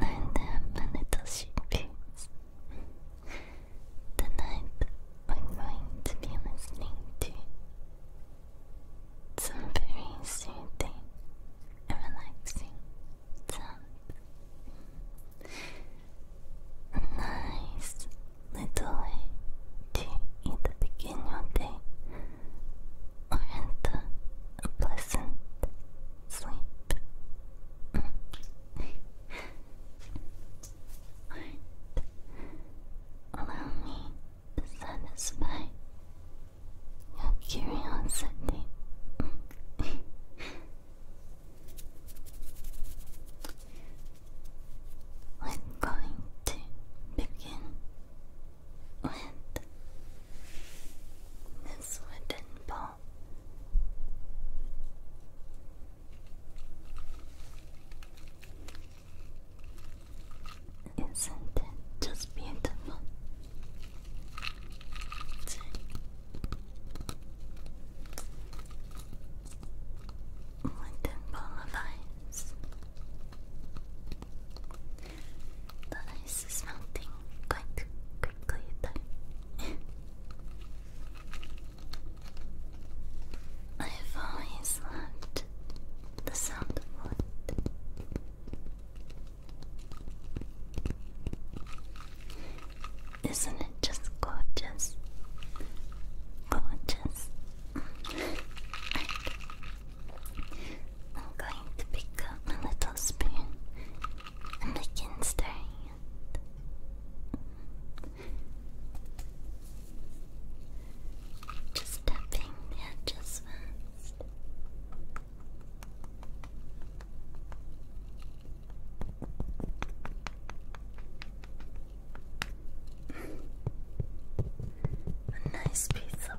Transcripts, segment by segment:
Learn them a little shippies. Tonight I'm going to be listening to some very soothing and relaxing sounds. nice little way to either begin your day or enter a pleasant sleep. allow me to satisfy your curiosity. We're going to begin with this wooden ball all. Isn't it just beautiful? Linden ball the ice is melting quite quickly though. I've always loved the sound of wood. Isn't it just gorgeous? Gorgeous. I'm going to pick up my little spoon I am stay. Just tapping the edges first. A nice piece of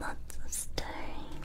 Lots of stirring.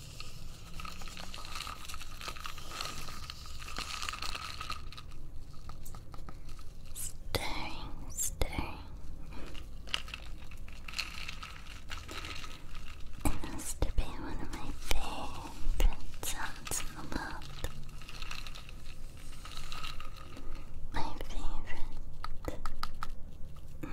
Stirring, stirring. It has to be one of my favorite sounds in the world. My favorite. Mm.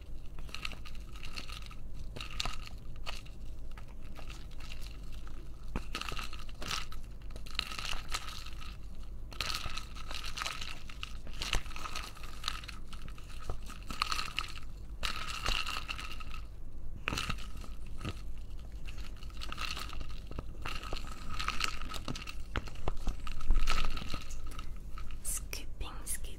Scooping, scooping,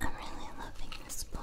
I'm really loving this bowl.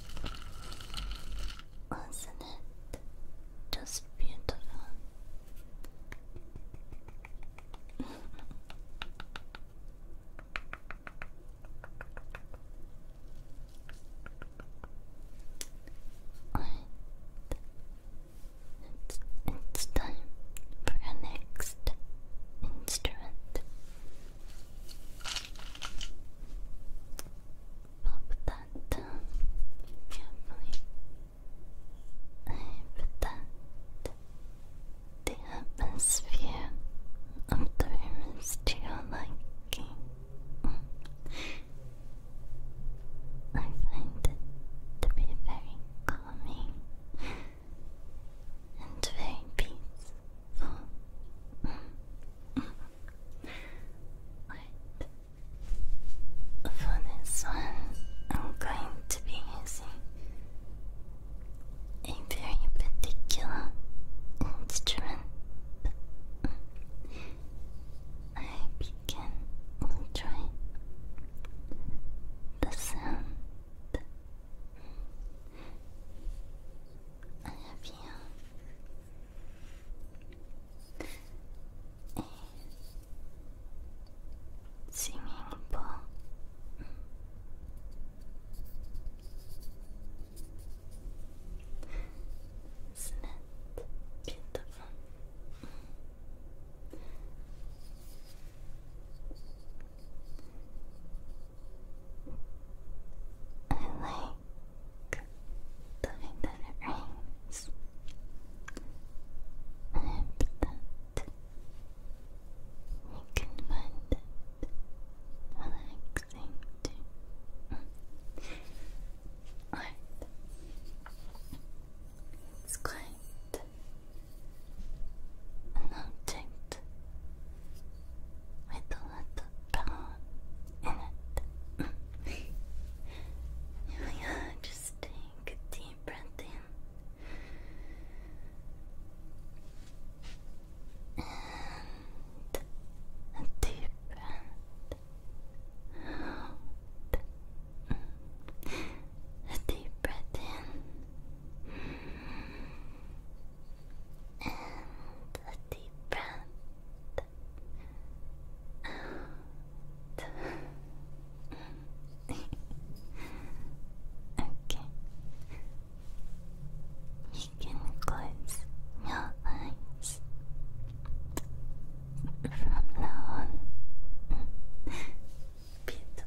Wasn't it just beautiful? right. It's, it's time for our next instrument. Pop I put the atmosphere of the room is to I find it to be very calming and very peaceful. But for this one, I'm going to be using a very particular instrument. I begin enjoy the sound I love you. singing bowl. is beautiful? I like the way that it rains. I hope that you can find it relaxing too. Alright. It's quite an object with a little bone in it. Here just take a deep breath in. And a deep breath out. A deep breath in. And a deep breath okay. You can close your eyes from now on. Beautiful.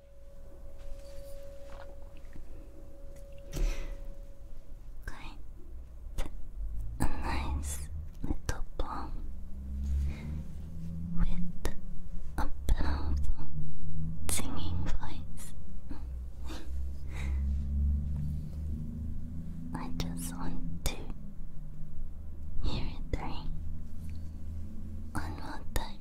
Quite a nice little bomb with a powerful singing voice. I just want to hear it ring one more time.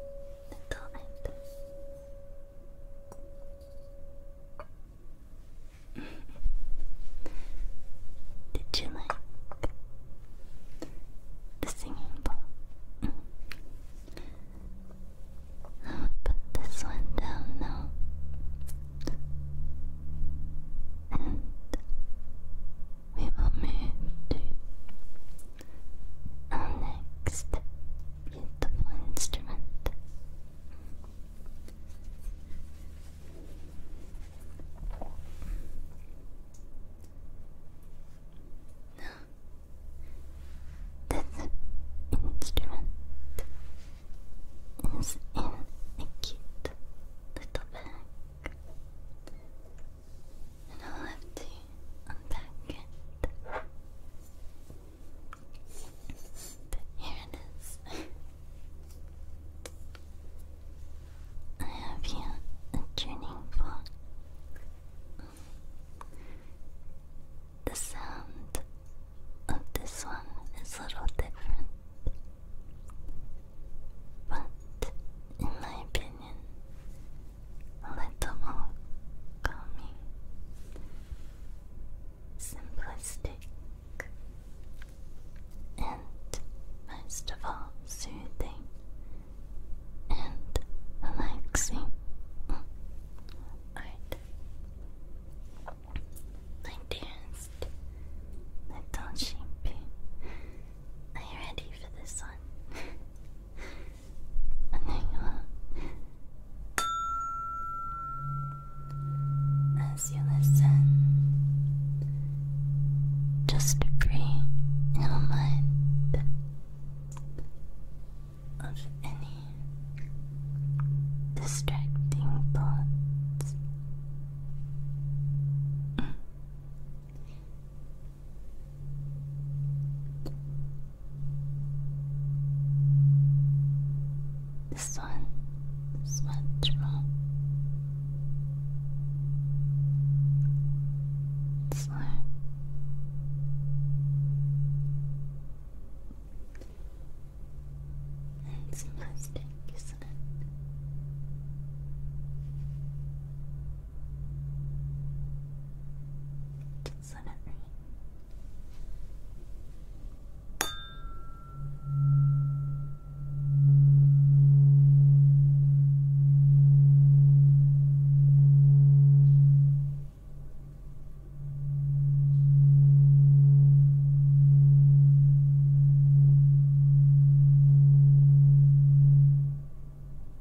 little Did you like the singing bowl? I'll put this one down now we will move to our next beautiful instrument. This instrument is in a cute little bag. I'll have to unpack it. But here it is. I have here a tuning fork. The sound of this one is a little different, but in my opinion, little more calming, simplistic, and most of all soothing and relaxing. Art. My dearest little sheepy, are you ready for this one? As you listen, just free in your mind of any distracting thoughts. Mm. This one is much Slow. And some isn't it? Suddenly.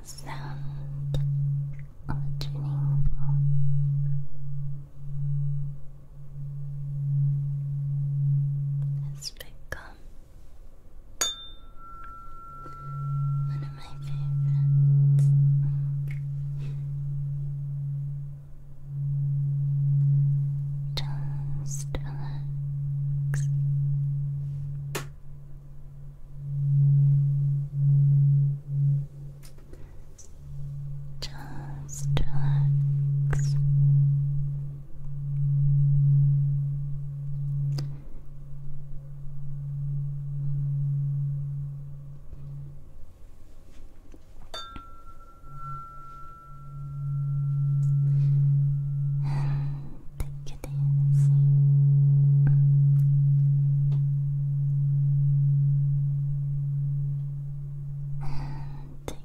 The sound of a tuning fork has become one of my favorites. Just Relax. Just relax. take it easy. And take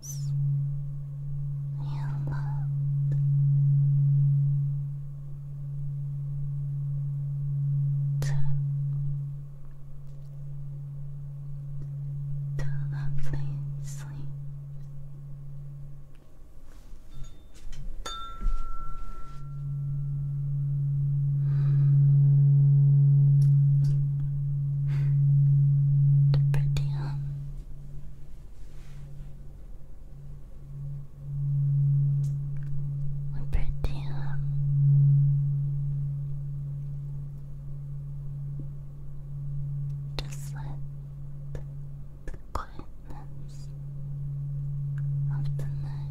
us you loved. To, to lovely they're pretty, huh? Just let the quietness of the night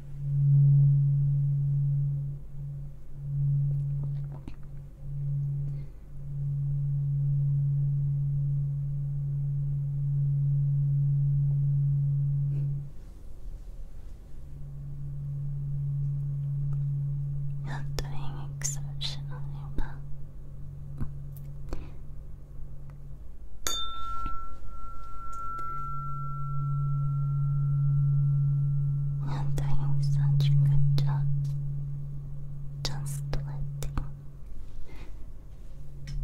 You're doing exceptionally well. You're doing such a good Just letting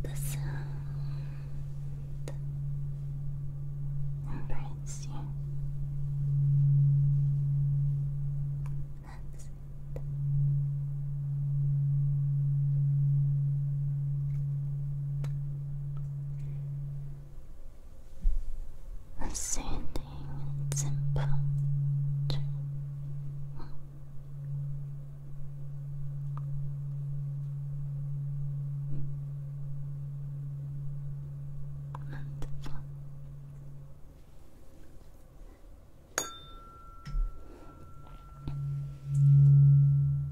the sound embrace you. That's it a soothing and simple dream.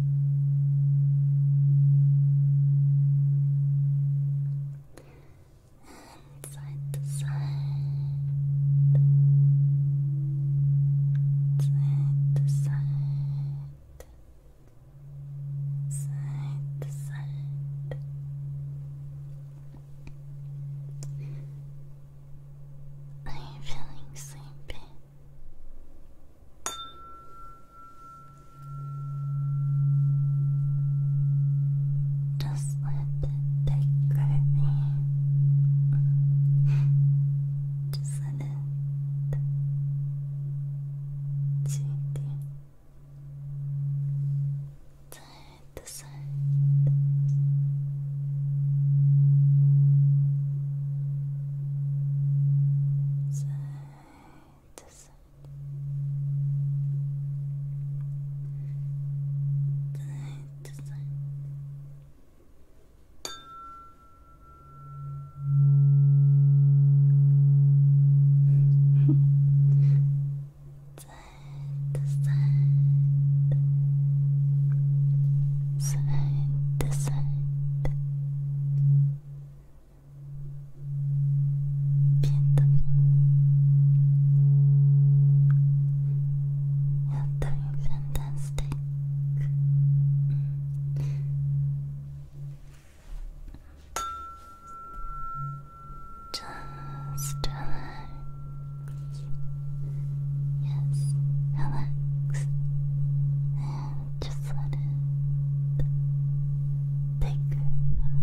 Side to side. Side to side. Side to side. Are you feeling sleepy? Just let it take me. Just let it take you side to side this side, this side. Side to side, side side, Beautiful. You're doing fantastic. Just relax. Yes, relax just let it take over.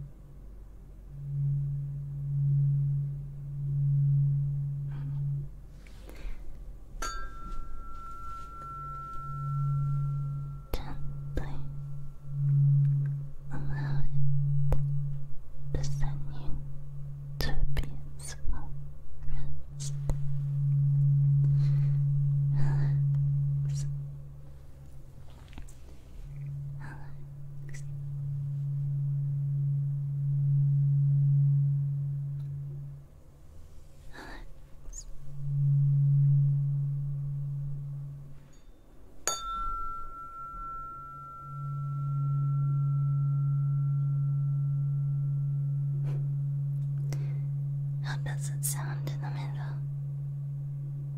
Gently allow it to send you to a peaceful how does it sound in the middle?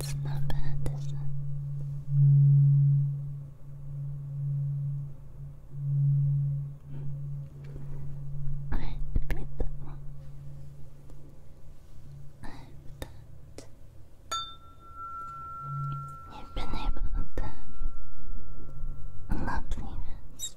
It's not bad, is it? I repeat that one. I hope that you've been able to have a lovely rest.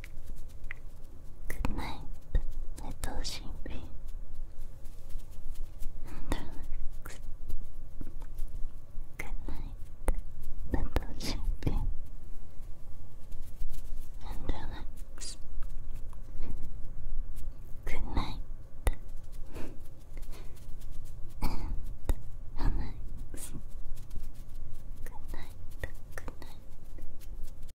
Good night, little Shinpei. Relax. Good night, little Shinpei. And relax. Good night. And relax. Good night. Good night.